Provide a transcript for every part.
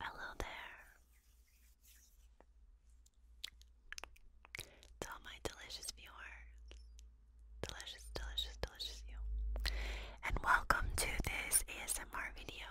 Hello there. To all my delicious viewers. Delicious, delicious, delicious you. And welcome to this ASMR video.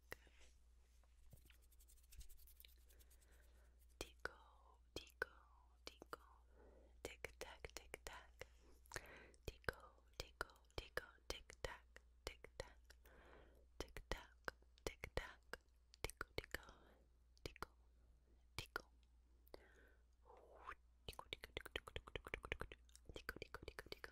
back. Tico, tico, tico, tick tack, tick tack. Tico, tico, tico, tick tack, tick tack, tick tack, tick tack. Tico, tico, tico, tico. Tico, tico, tico, tico, tico, tico, tico, tico, tico, tico, tico, tick tack.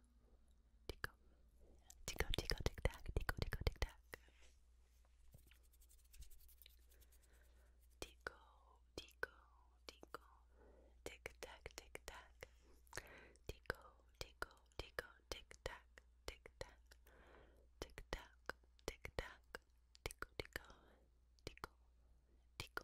tico, tico, tico, tic tac, tico, tico, tic tac, tico, tico, tico, tic tac, tic tac, tico, tico, tico, tic tac, tic tac, tic tac, tic tac, tico, tico, tico, tico.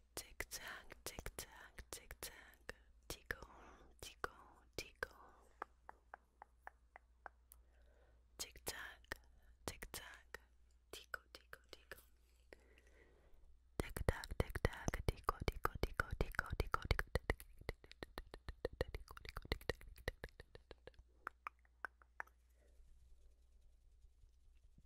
Tic tac, tic tac, tic tac. Tickle, tickle, tickle. Tic tac, tic tac. Tickle, tickle, tickle. Tic tac, tic tac. Tickle, tickle, tickle, tickle, tickle, tickle, tickle,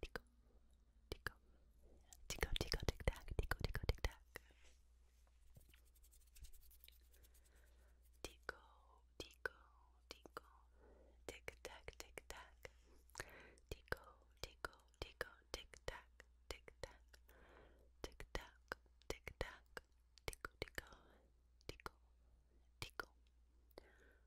tico, tico, tico, tico, tico, tic tac, tico, tico, tic tac, tico, tico, tico, tic tac, tic tac, tico, tico, tico, tic tac, tic tac, tic tac, tic tac, tico, tico, tico, tico.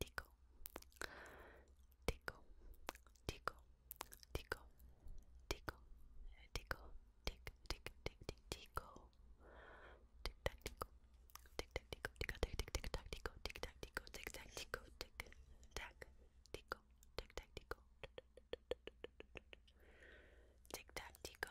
tico, tico, tico, tico, tico, tico, tick, tick, tick, tick, tico, tick, tac, tico, tick, tac, tico, tick, tac, tick, tick, tac, tico, tick, tac, tico, tick, tac, tico, tick, tac, tico, tick, tac, tico, tick, tac, tico,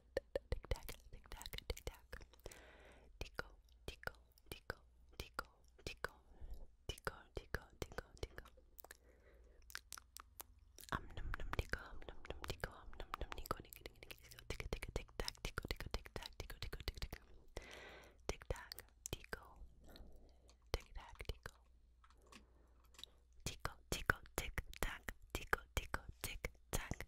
Tic tac, tic tac, tic tac. Tico, tico, tico, tico, tico, tico, tico, tico, tico. Um num num tico, um num num tico, um num num tico, tico, tico, tico, tico, tic tac, tico, tico, tic tac, tico, tico, tico, tico. Tic tac, tico, tic tac, tico. Tico, tico, tic tac, tico, tico, tic tac,